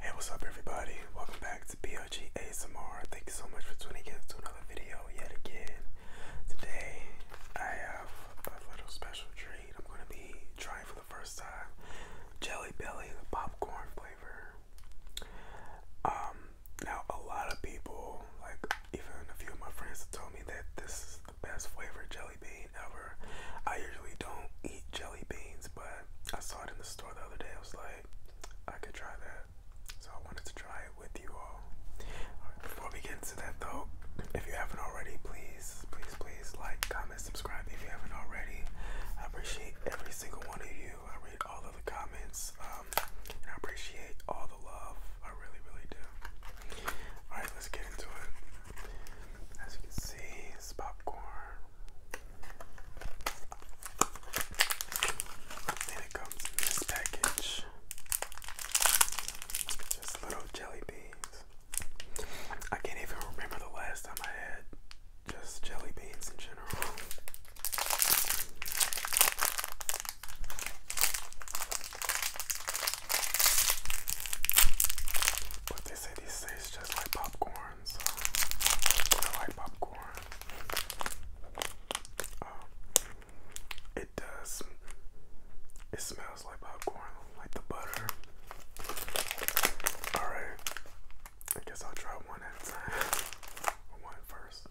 Hey, what's up, everybody? Welcome back to Blog ASMR. Thank you so much for tuning in to another video yet again. Today, I have a little special treat. I'm going to be trying for the first time Jelly Belly, the popcorn flavor. Um, now, a lot of people, like even a few of my friends, have told me that this is the best flavored jelly bean ever. I usually don't eat jelly beans, but I saw it in the store the other day. I was like, I could try that. So I wanted to try it with you all. before we get to that though, if you haven't already, please, please, please like, comment, subscribe if you haven't already. I appreciate every single one of you. I read all of the comments. Um, and I appreciate all the love. I really, really do. Alright, let's get into it. As you can see, it's popcorn. And comes this package. Just little jelly beans. I can't even remember the last time I had just jelly beans in general. But they say these taste just like popcorn. I like popcorn. Um, it does. It smells like popcorn, like the butter. All right, I guess I'll try one at a time. One first.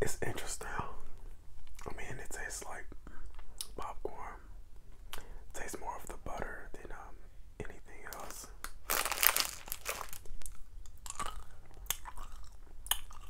It's interesting. I mean, it tastes like popcorn. It tastes more of the butter than um, anything else.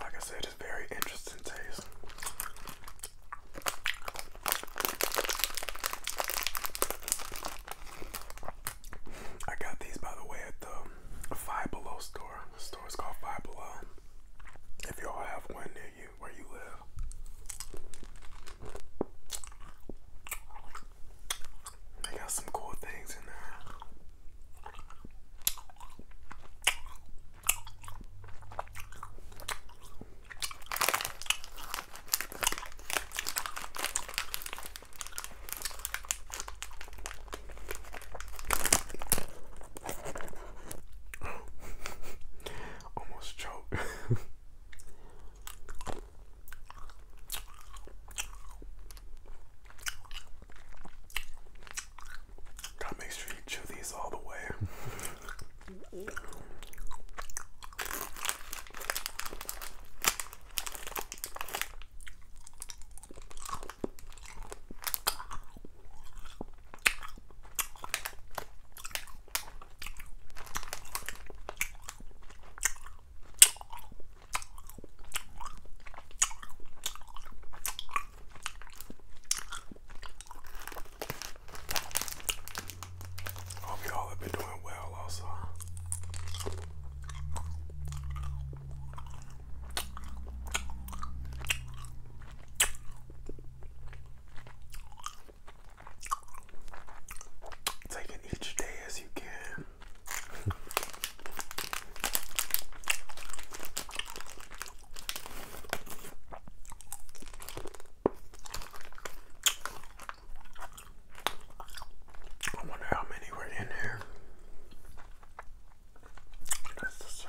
Like I said, it's very interesting taste. I got these by the way at the Five Below store. The store is called Five Below. If y'all have one near you where you live. I got some cool things in there. Almost choked. Gotta make sure you chew these all the way. Hope y'all have been doing well also. Taking each day as you can. I wonder how many were in here. Just to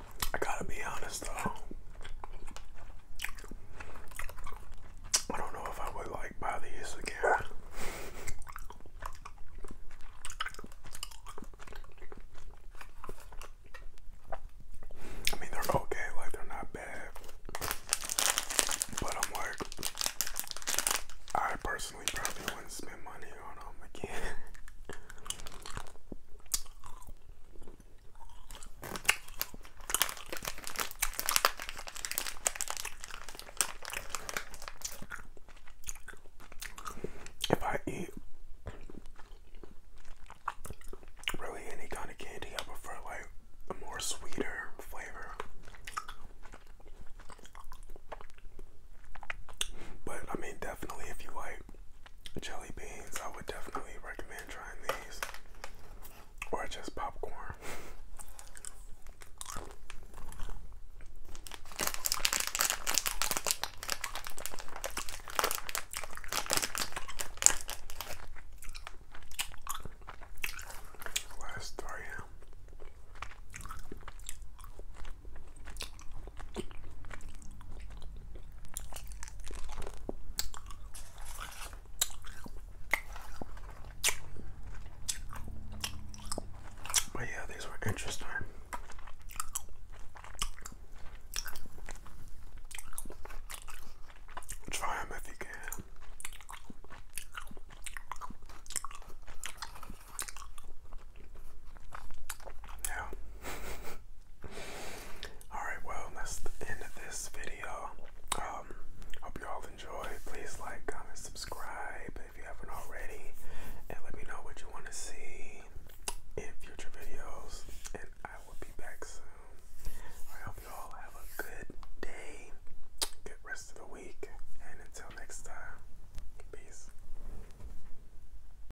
I gotta be honest though. I don't know if I would like buy these again. I mean, they're okay, like, they're not bad. But I'm like, I personally probably wouldn't spend money on them again. If I eat really any kind of candy, I prefer like a more sweeter flavor. But I mean, definitely if you like jelly beans. I would definitely recommend trying these, or just popcorn. Last 3 but yeah, these were interesting. Try them if you can. Yeah. Alright, well, that's the end of this video. Um, hope you all enjoyed. Please like, comment, subscribe if you haven't already. And let me know what you want to see in future videos. And I will be back soon. I hope you all have a good day, good rest of the week. And until next time, peace.